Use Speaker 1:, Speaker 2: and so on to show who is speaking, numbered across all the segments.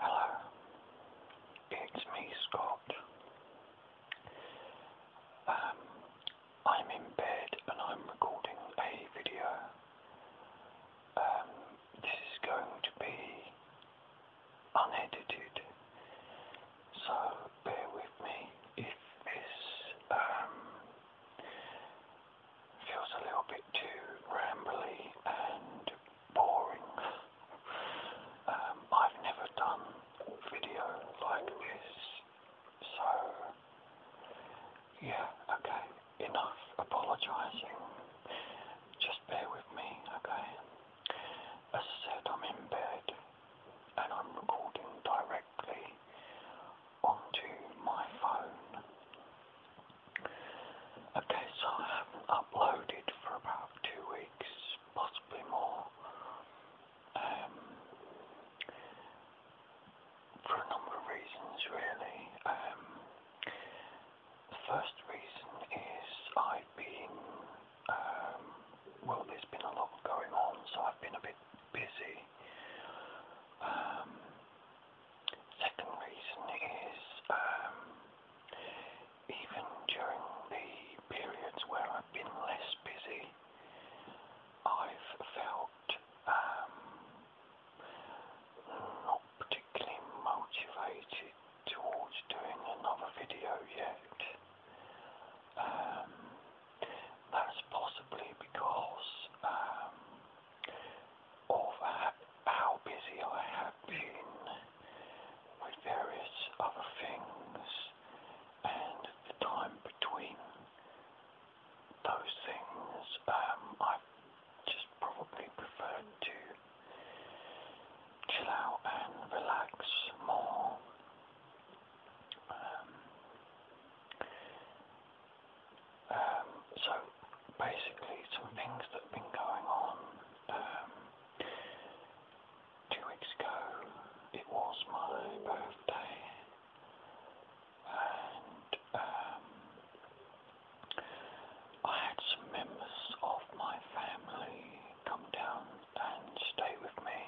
Speaker 1: Hello, it's me, Scott. Um, I'm in bed and I'm recording a video. Um, this is going to be unedited, so bear with me if this um, Feels a little bit too rambly and boring. Um, I've never done video like this, so yeah, okay, enough apologising. Just bear with me, okay? As I said, I'm in bed and I'm recording directly onto my phone. Okay, so I haven't uploaded for about two weeks, possibly more, um, for a number of reasons really. Um, the first reason is I've been, um, well, there's been a lot going on, so I've been a bit busy. Um, second reason is um, even during the periods where I've been less busy, I've felt um, not particularly motivated towards doing another video yet. Um, that's possibly because um, of how busy I have been with various other things and the time between those things um, I've just probably preferred to chill out and relax more um, um, so, basically, some things that have been going on. Um, two weeks ago, it was my birthday, and um, I had some members of my family come down and stay with me.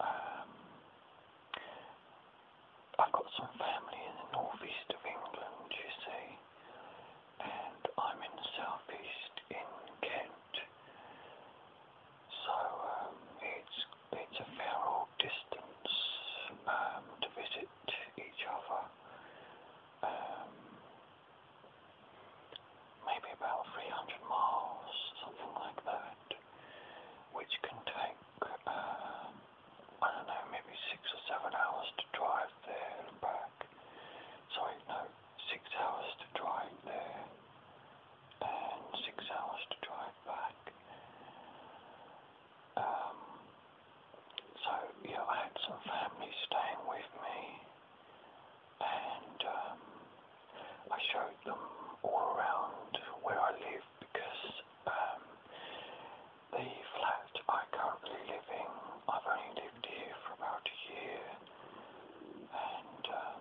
Speaker 1: Um, I've got some family in the northeast of England, you see, and I'm in the southeast in Kent. So um, it's it's a fair old distance um, to visit each other. Um, maybe about 300 miles, something like that which can take, um, I don't know, maybe six or seven hours to drive there and back. Sorry, no, six hours to drive there and six hours to drive back. Um, so, yeah, I had some family staying with me and um, I showed them all around where I live because um, the flat I currently live in, I've only lived here for about a year, and um,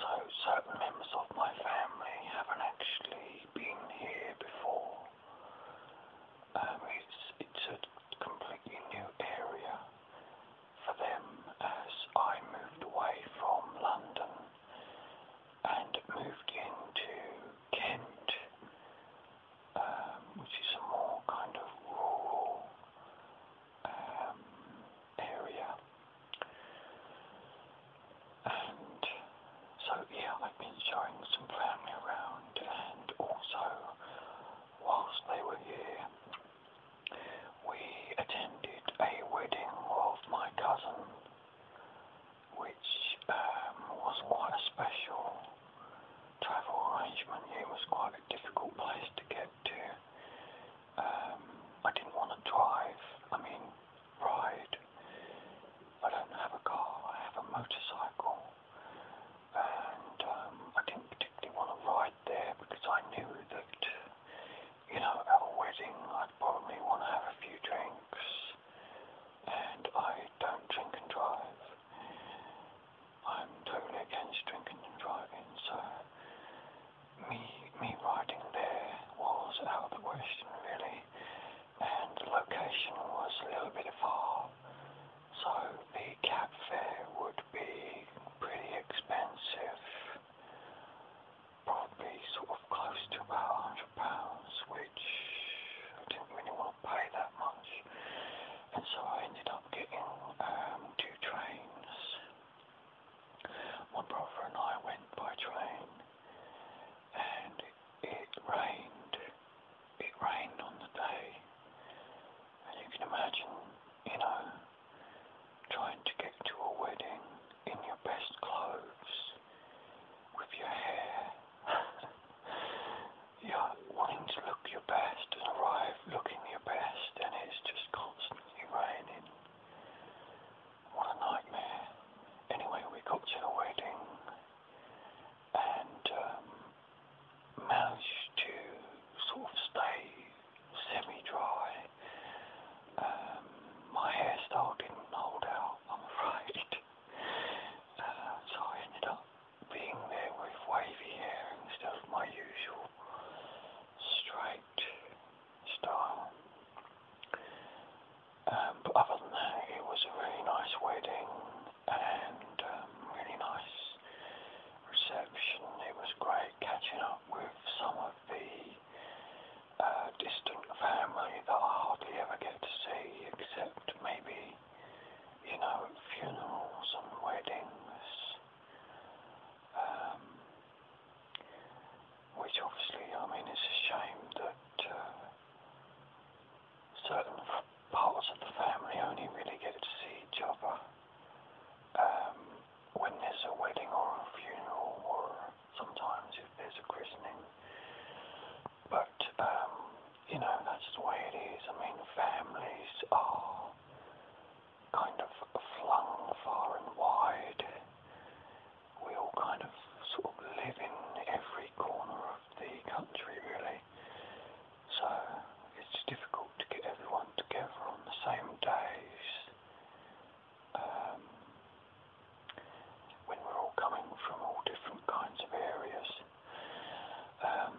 Speaker 1: so certain members of my family haven't actually been here before. Um, it's, it's a completely new area, for them as I moved away from London and moved into Kent, um, which is a more kind of rural um, area. And so, yeah, I've been showing some family around, and also whilst they were here, we attended a wedding of my cousin, which um, was quite a special travel arrangement. It was quite a difficult place to get to. Um, I didn't want to drive, I mean, ride. I don't have a car, I have a motorcycle. And um, I didn't particularly want to ride there because I knew that you know, at a wedding, I'd probably want to have a few drinks, and I don't drink and drive. I'm totally against drinking and driving, so me me riding there was out of the question really, and the location was a little bit far, so the cab fare would be pretty expensive brought me sort of close to about £100, which I didn't really want to pay that much. And so I ended up getting um, two trains. My brother and I went by train, and it rained. It rained on the day, and you can imagine, you know, trying to get to a wedding in your best clothes, with your hair, you're wanting to look your best and arrive looking your best, and it's just constantly raining. What a nightmare. Anyway, we got to the wedding and um, managed to sort of stay semi-dry. Um, my hairstyle didn't hold out, I'm afraid. Uh, so I ended up being there with wavy hair instead of my usual straight style. Um, but other than that, it was a really nice wedding and um, really nice reception. It was great catching up with some of the uh, distant family that I hardly ever get to see, except maybe, you know, at funerals and weddings, um, which obviously, I mean, it's a shame that uh, certain parts of the family only really get to see each other. Um, witness a wedding or a funeral, or sometimes if there's a christening. But, um, you know, that's the way it is. I mean, families are kind of flung far and wide. We all kind of sort of live in every corner of the country, really. So it's difficult to get everyone together on the same days um, when we're all coming from all different kinds of areas. Um,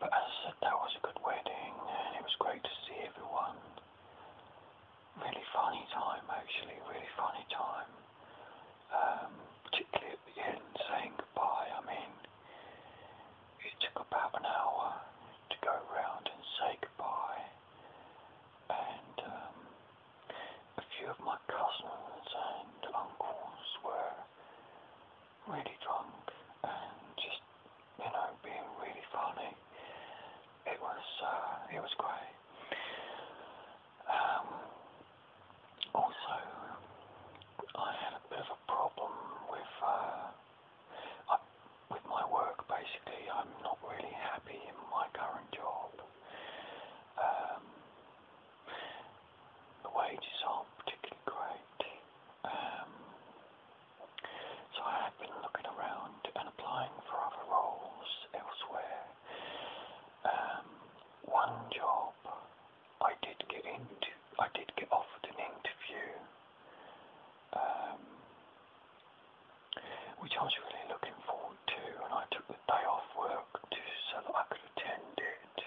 Speaker 1: but as I said, that was a good wedding, and it was great to see everyone. Really funny time, actually, really funny time. Um, particularly at the end, saying goodbye. I mean, it took about an hour to go round and say goodbye and um, a few of my cousins and uncles were really drunk and just, you know, being really funny. It was, uh, it was great. Um, also, I had a bit of a problem with uh, I, with my work, basically, I'm not really happy in my current job. Um, the wages aren't particularly great. Um, so I have been looking around and applying for other roles elsewhere. Um, one job I did get into, I did get offered an interview. Um, which I was really looking forward to, and I took the day off work to, so that I could attend it.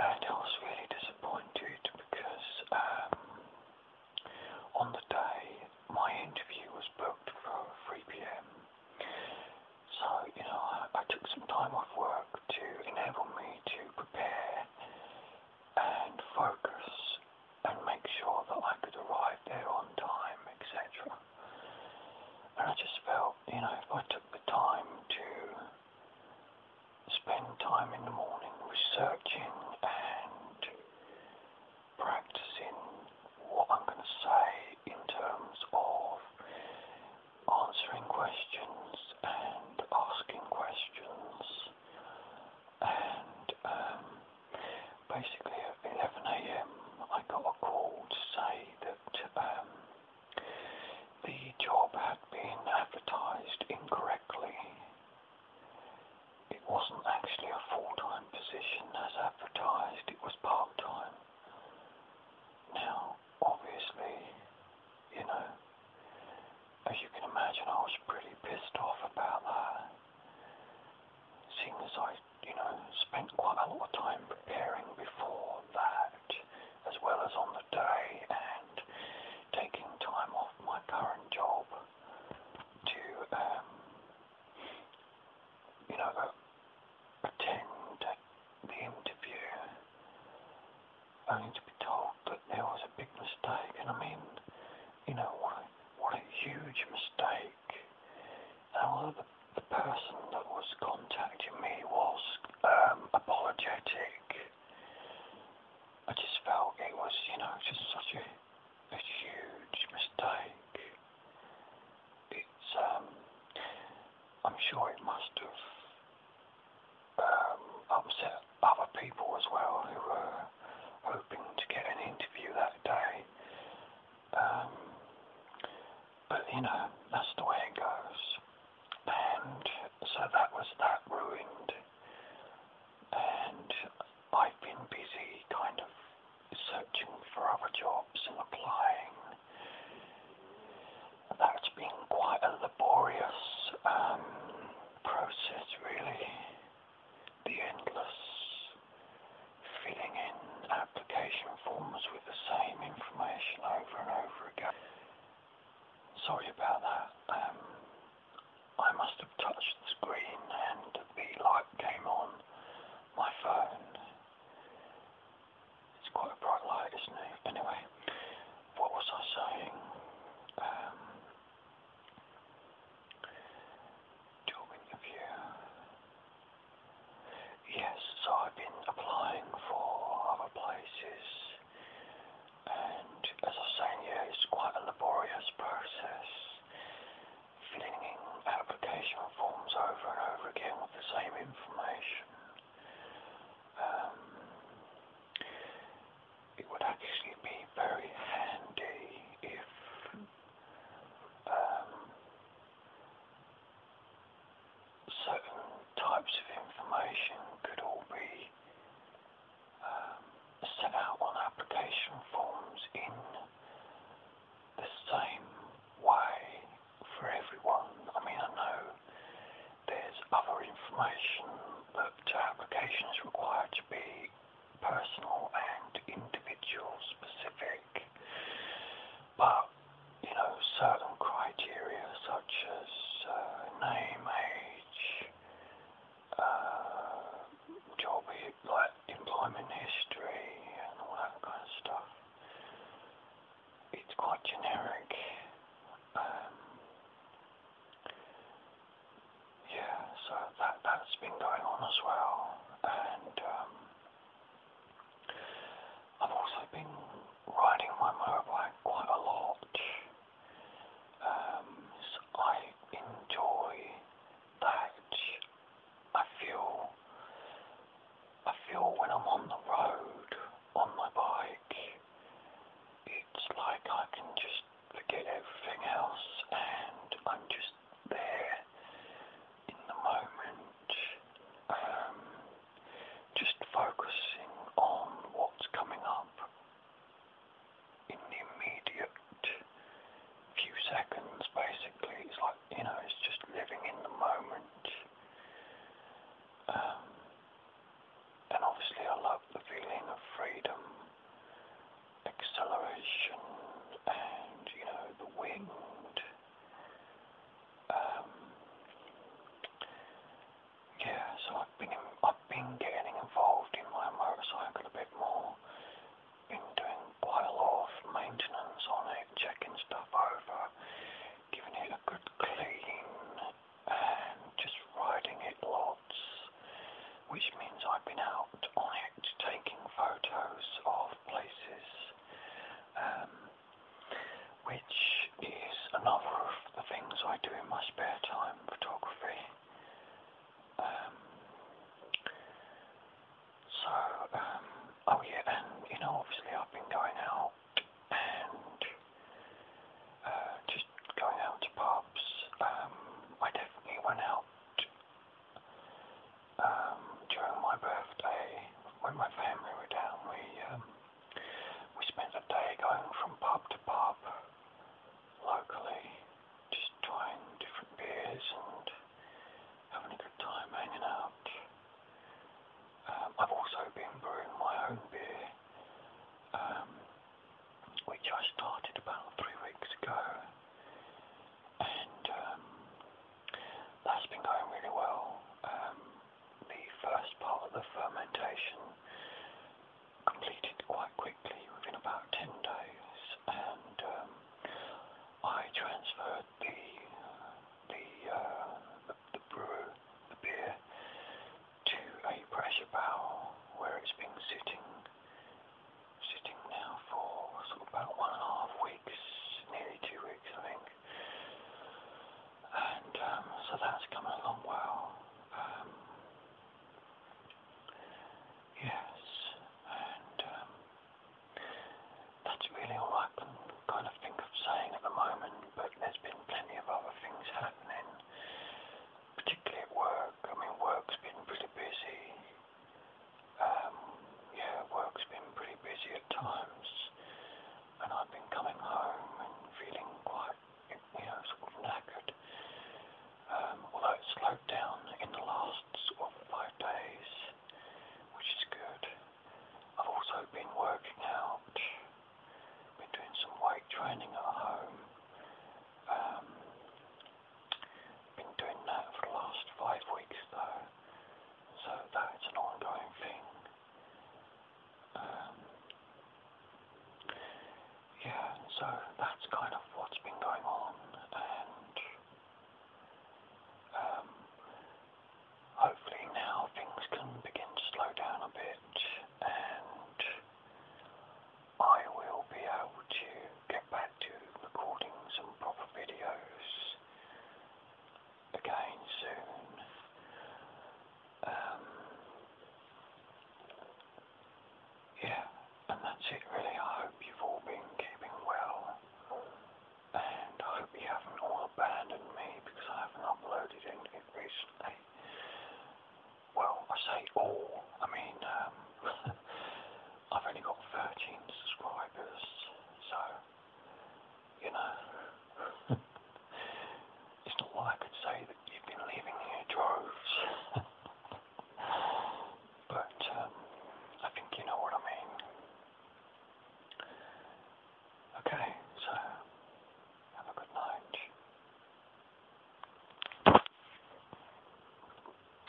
Speaker 1: And I was really disappointed because um, on the day my interview was booked for 3 pm. So, you know, I, I took some time off work to enable me to prepare and focus and make sure that I could arrive there on time, etc. And I just felt, you know, I took the time to spend time in the morning researching and practicing what I'm going to say in terms of answering questions and asking questions and um, basically at 11am I got a call to say that um, the job had been advertised incorrectly. It wasn't actually a full-time position as advertised, it was part-time. Now, obviously, you know, as you can imagine, I was pretty pissed off about that. Seeing as I, you know, spent quite a lot of time preparing before that, as well as on the day, and taking time off my current job to, um, you know, uh, attend the interview, only to be told that there was a big mistake, and I mean, you know, what I what a huge mistake. Now, the, the person that was contacting me was um, apologetic. I just felt it was, you know, just such a, a huge mistake. It's, um, I'm sure it must have um, upset other people as well who were hoping to get an interview that day. Um, but you know, that's the way it goes. And so that was that ruined. And I've been busy kind of searching for other jobs and applying. That's been quite a laborious um, process, really. The endless filling in application forms with the same information over and over again. Sorry about that. Um, I must have touched the screen and the light came on my phone. It's quite a bright light, isn't it? Anyway, what was I saying? Um, too many you. Yes, so I've been applying for other places, and as I was saying, yeah, it's quite a laborious process. Filling in application forms over and over again with the same information. Um, it would actually be very handy if um, certain types of information could all be um, out on application forms in the same way for everyone. I mean, I know there's other information that applications require to be personal and individual specific, but you know, certain criteria such as uh, name, age, uh, job, like employment history, and all that kind of stuff. It's quite generic. Um, yeah, so that, that's been going on as well. And um, I've also been riding my motorbike quite a lot. Um, so I enjoy that. I feel, I feel when I'm on the road on my bike, it's like I can just forget everything else and I'm just there in the moment, um, just focusing on what's coming up in the immediate few seconds, basically. It's like, you know, it's just living in the moment. Um, and obviously, I love the feeling of freedom acceleration and you know the wind. Um, yeah, so I've been in, I've been getting involved in my motorcycle a bit more, been doing quite a lot of maintenance on it, checking stuff over, giving it a good clean, and just riding it lots which means I've been out on it taking photos of places, um, which is another of the things I do in my spare time photography. Um, so, um, oh yeah, and you know, obviously I've been going out and uh, just going out to pubs. I definitely went out um, during my birthday, when my family were down, we um, we spent a day going from pub to pub locally, just trying different beers and having a good time hanging out. Um, I've also been brewing my own beer, which I started about three weeks ago and um, that's been going really well. Um, the first part of the fermentation completed quite quickly, within about 10 days, and um, I transferred the the uh, the brew the beer to a pressure barrel where it's been sitting sitting now for sort of about one and a half weeks, nearly two weeks, I think. And um, so that's coming along well. Um, yes, and um, that's really all I can kind of think of saying at the moment, but there's been plenty of other things happening, particularly at work. I mean, work's been pretty busy. Um, yeah, work's been pretty busy at times, and I've been coming home and feeling quite, you know, sort of knackered. Um, although it's slowed down in the last sort of five days, which is good. I've also been working out, been doing some weight training at home. Um, been doing that for the last five weeks though, so that's an ongoing thing. Um, yeah, so that's kind of what's been going on, and um, hopefully now things can begin to slow down a bit, and I will be able to get back to recording some proper videos again soon. Um, yeah, and that's it really. I hope you've all been keeping well, and I hope you haven't all abandoned me because I haven't uploaded anything recently. Well, I say all, I mean, um, I've only got 13 subscribers, so, you know, it's not like I could say that you've been leaving here droves, but um, I think you know what I mean. Okay, so, have a good night.